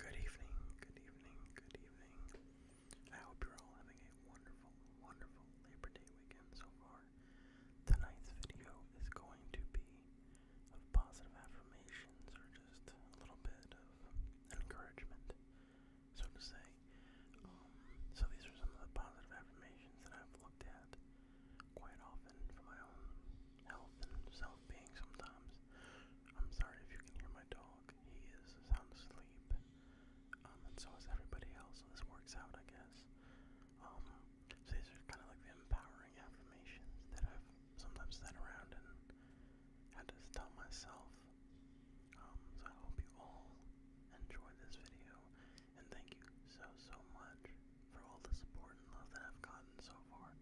Good evening, good evening, good evening. I hope you're all having a wonderful, wonderful Labor Day weekend so far. Tonight's video is going to be of positive affirmations or just a little bit of encouragement, so to say. Um, so these are some of the positive affirmations that I've looked at quite often for my own health and self-being sometimes. I'm sorry if you can hear my dog. He is sound asleep. Um, and so is everybody else, so this works out, I guess. Um, so these are kind of like the empowering affirmations that I've sometimes sat around and had to tell myself. Um, so I hope you all enjoyed this video, and thank you so, so much for all the support and love that I've gotten so far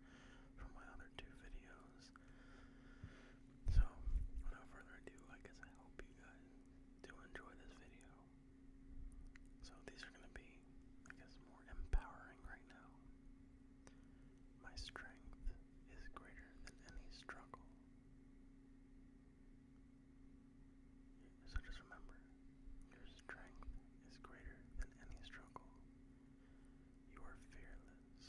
from my other two videos. So, without further ado, I guess I hope you guys do enjoy this video. So, these are going to be, I guess, more empowering right now. My strength is greater than any struggle. So just remember, your strength is greater than any struggle. You are fearless.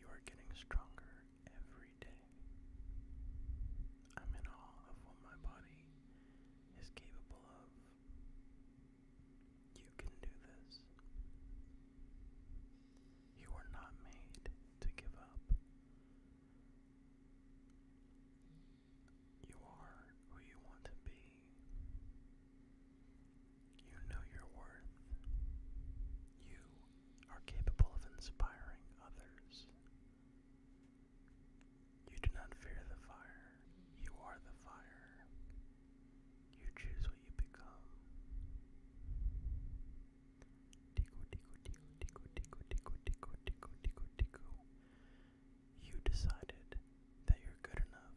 You are getting stronger every day. I'm in awe of what my body is capable of. You can do this. You are not made to give up. You are who you want to be. You know your worth. You are capable of inspiring others. You do not fear the fire. You are the fire. You choose what you become. Tico, tico, tico, tico, tico, tico, tico, tico, tico, tico. You decided that you're good enough.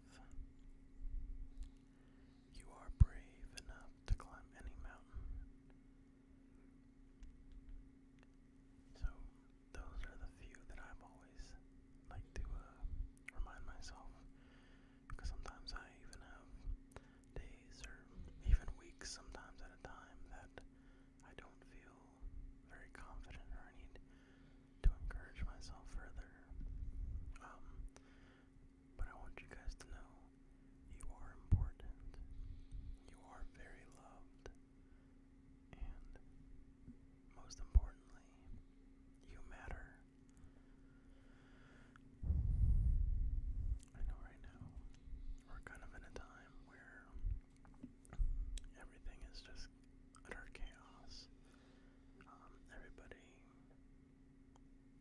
You are brave enough to climb any mountain. So, those are the few that I've always liked to uh, remind myself. Because sometimes I even have days or even weeks, sometimes at a time, that I don't feel very confident or I need to encourage myself further. Um, but I want you guys to know you are important, you are very loved, and most importantly, you matter. I know right now we're kind of in a time where Everything is just utter chaos. Um, everybody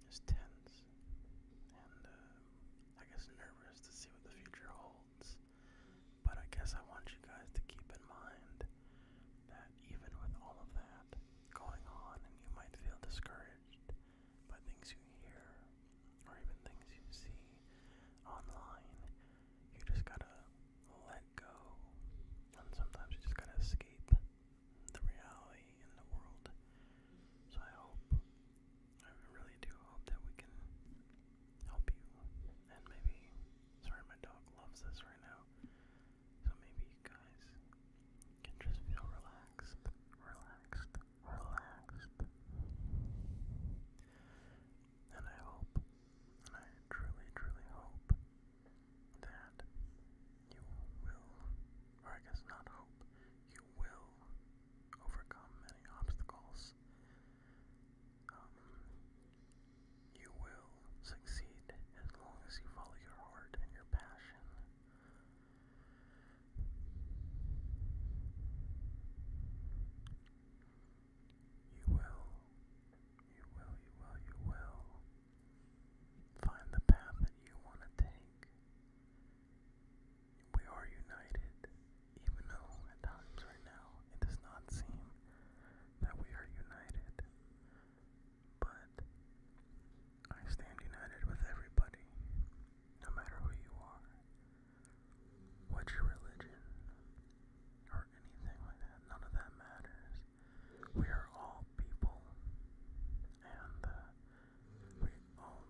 is tense and uh, I guess nervous to see what the future holds. But I guess I want you guys to keep in mind that even with all of that going on, and you might feel discouraged by things you hear or even things you see online, you just gotta let go. And sometimes you just gotta escape the reality in the world. So I hope, I really do hope that we can help you. And maybe, sorry, my dog loves this right now. So maybe you guys can just feel relaxed, relaxed, relaxed. And I hope, and I truly, truly hope that you will, or I guess not hope, you will overcome many obstacles. Um, you will succeed as long as you follow your heart and your passion. You will, you will, you will, you will find the path that you want to take. We are united, even though at times right now it does not seem that we are united. But I stand united with everybody, no matter who you are what's your religion, or anything like that. None of that matters. We are all people, and uh, we all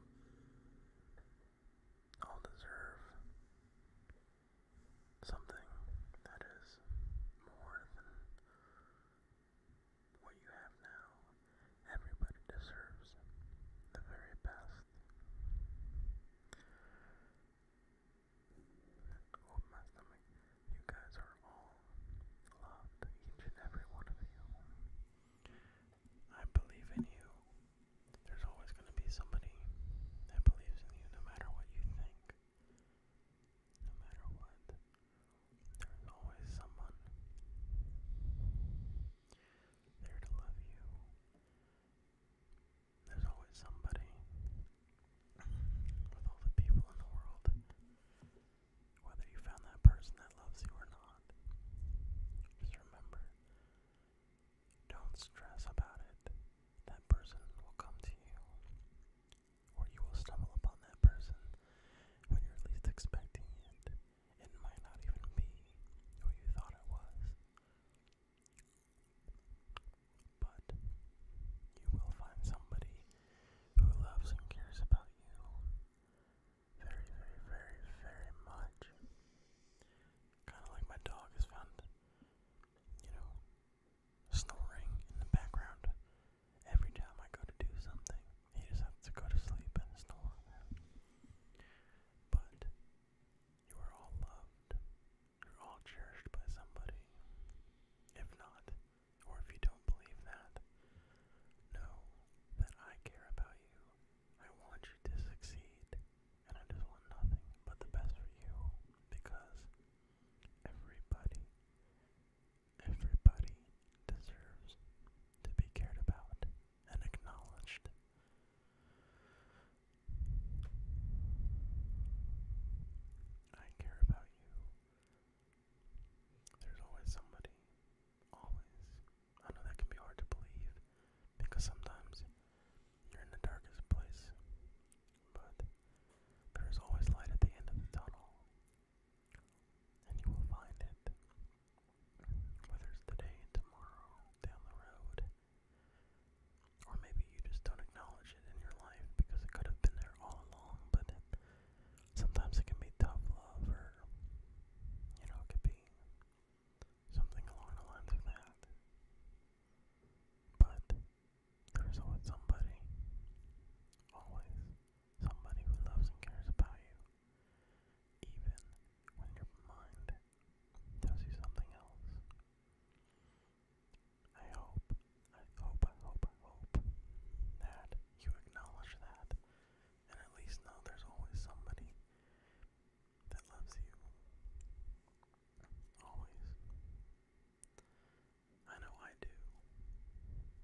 all deserve something that is more than what you have now. Everybody deserves the very best. Hold my stomach. You guys are all loved, each and every one of you. I believe in you. There's always going to be somebody that believes in you no matter what you think. No matter what. There's always someone there to love you. There's always somebody with all the people in the world, whether you found that person that loves you or not. Just remember, don't stress about it. That person will come to you, or you will stumble upon that person when you're least expecting it. It might not even be who you thought it was. But you will find somebody who loves and cares about you very, very, very, very much. Kind of like my dog is found, you know, snoring in the background every time I go to do something. He just has to go to sleep and snore. But you are all loved. You're all cherished by somebody. If not, or if you don't believe that, know that I care about you. I want you to succeed. And I just want nothing but the best for you because everybody, everybody deserves to be cared about and acknowledged. I care about you. There's always somebody. Always. I know that can be hard to believe because sometimes you're in the darkest place, but there is always light at the end of the tunnel, and you will find it whether it's today, tomorrow, down the road, or maybe you just don't acknowledge it in your life because it could have been there all along, but sometimes it can be tough love, or you know, it could be something along the lines of that. But there's always somebody, always somebody who loves and cares about you, even when your mind tells you something else. I hope, I hope, I hope, I hope that you acknowledge that and at least know there's always somebody that loves you. Always. I know I do,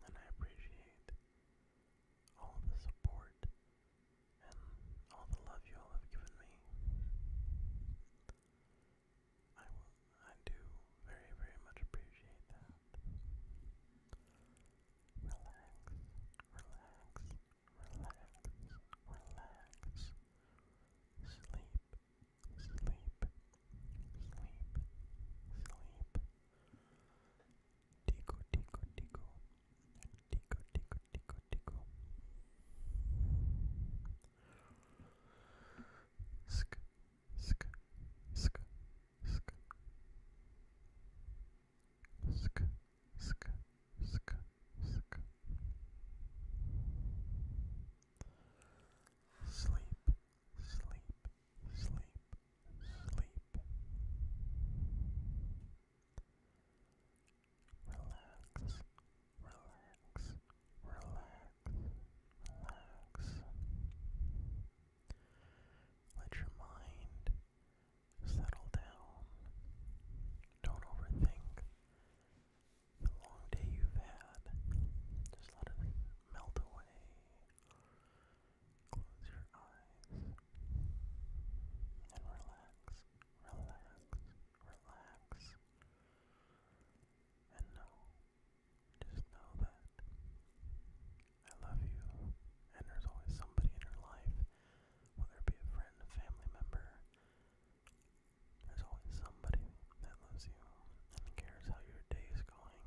and I appreciate all the support and all the love you all have given me. I I do very, very much appreciate that. Relax, relax, relax, relax. Sleep, sleep, sleep, sleep. Tico, tico, tico. Tico, tico, tico, tico. Sk, sk, sk, sk. Sk, sk, sk, sk. Sleep, sleep, sleep, sleep. Relax, relax, relax, relax. Let your mind settle down. Don't overthink the long day you've had. Just let it melt away. Close your eyes and relax, relax, relax. And know, just know that I love you, and there's always somebody in your life, whether it be a friend, a family member, there's always somebody that loves you and cares how your day is going.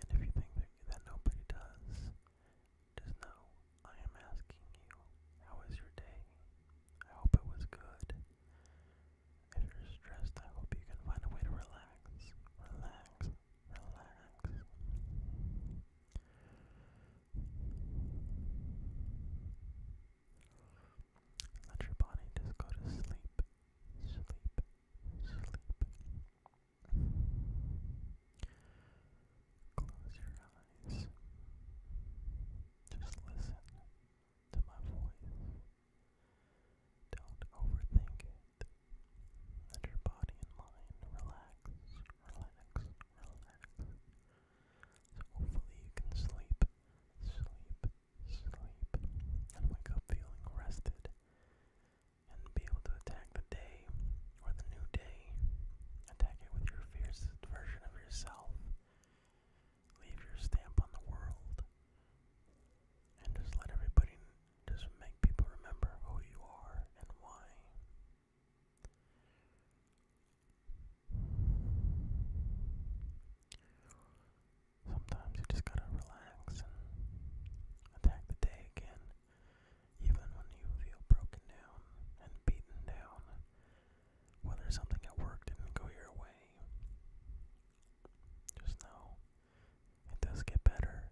And if you think that, nobody does, just I am asking you, how is your day? I hope it was good. If you're stressed, I hope you can find a way to relax. Relax. Relax. Let your body just go to sleep. Sleep. Sleep. Close your eyes. Just listen to my voice. Don't overthink it. Let your body and mind relax, relax, relax. So hopefully you can sleep, sleep, sleep, and wake up feeling rested and be able to attack the day or the new day. Attack it with your fiercest version of yourself. Leave your stamp on the world. And just let everybody, just make people remember who you are and why. Sometimes you just gotta relax and Attack the day again, even when you feel broken down and beaten down, whether something at work didn't go your way. Just know it does get better.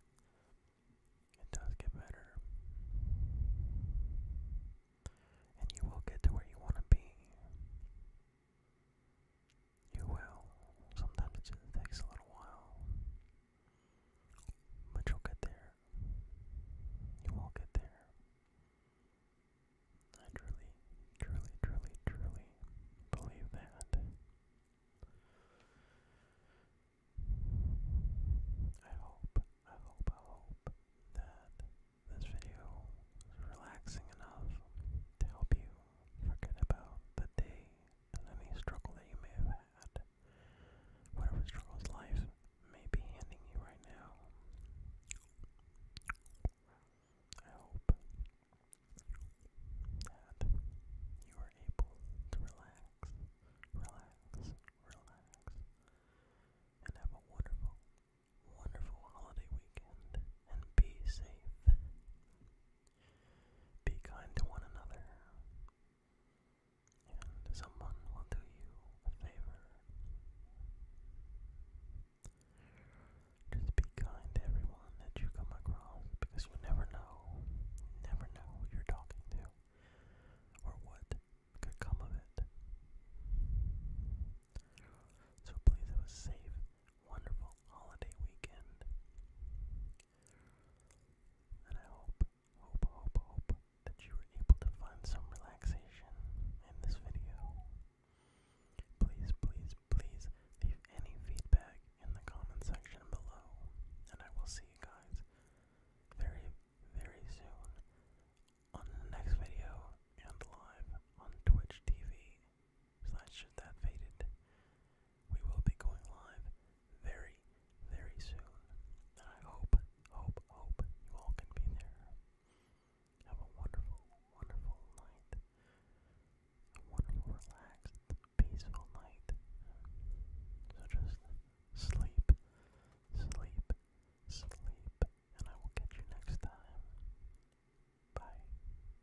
It does get better. And you will get to where you want to be. You will. Sometimes it just takes a little while. But you'll get there. You will get there. I truly, truly, truly, truly believe that. I hope, I hope, I hope that this video is relaxing enough to help you forget about the day and any struggle that you may have had, whatever struggles life may be handing you right now. I hope that you are able to relax, relax, relax, and have a wonderful, wonderful holiday weekend and be safe. Be kind to one another, and someone will do you a favor. Just be kind to everyone that you come across because you never know, never know who you're talking to or what could come of it. So please have a safe, wonderful, holiday weekend. And I hope, hope, hope, hope that you were able to find some relaxation in this video. Please, please, please leave any feedback in the comment section below, and I will see you guys very, very soon on the next video and live on Twitch TV slash that faded. We will be going live very, very soon. And I hope, hope, hope you all can be there. Have a wonderful, wonderful night. A wonderful, relaxed, peaceful night. So just sleep, sleep, sleep, and I will catch you next time. Bye.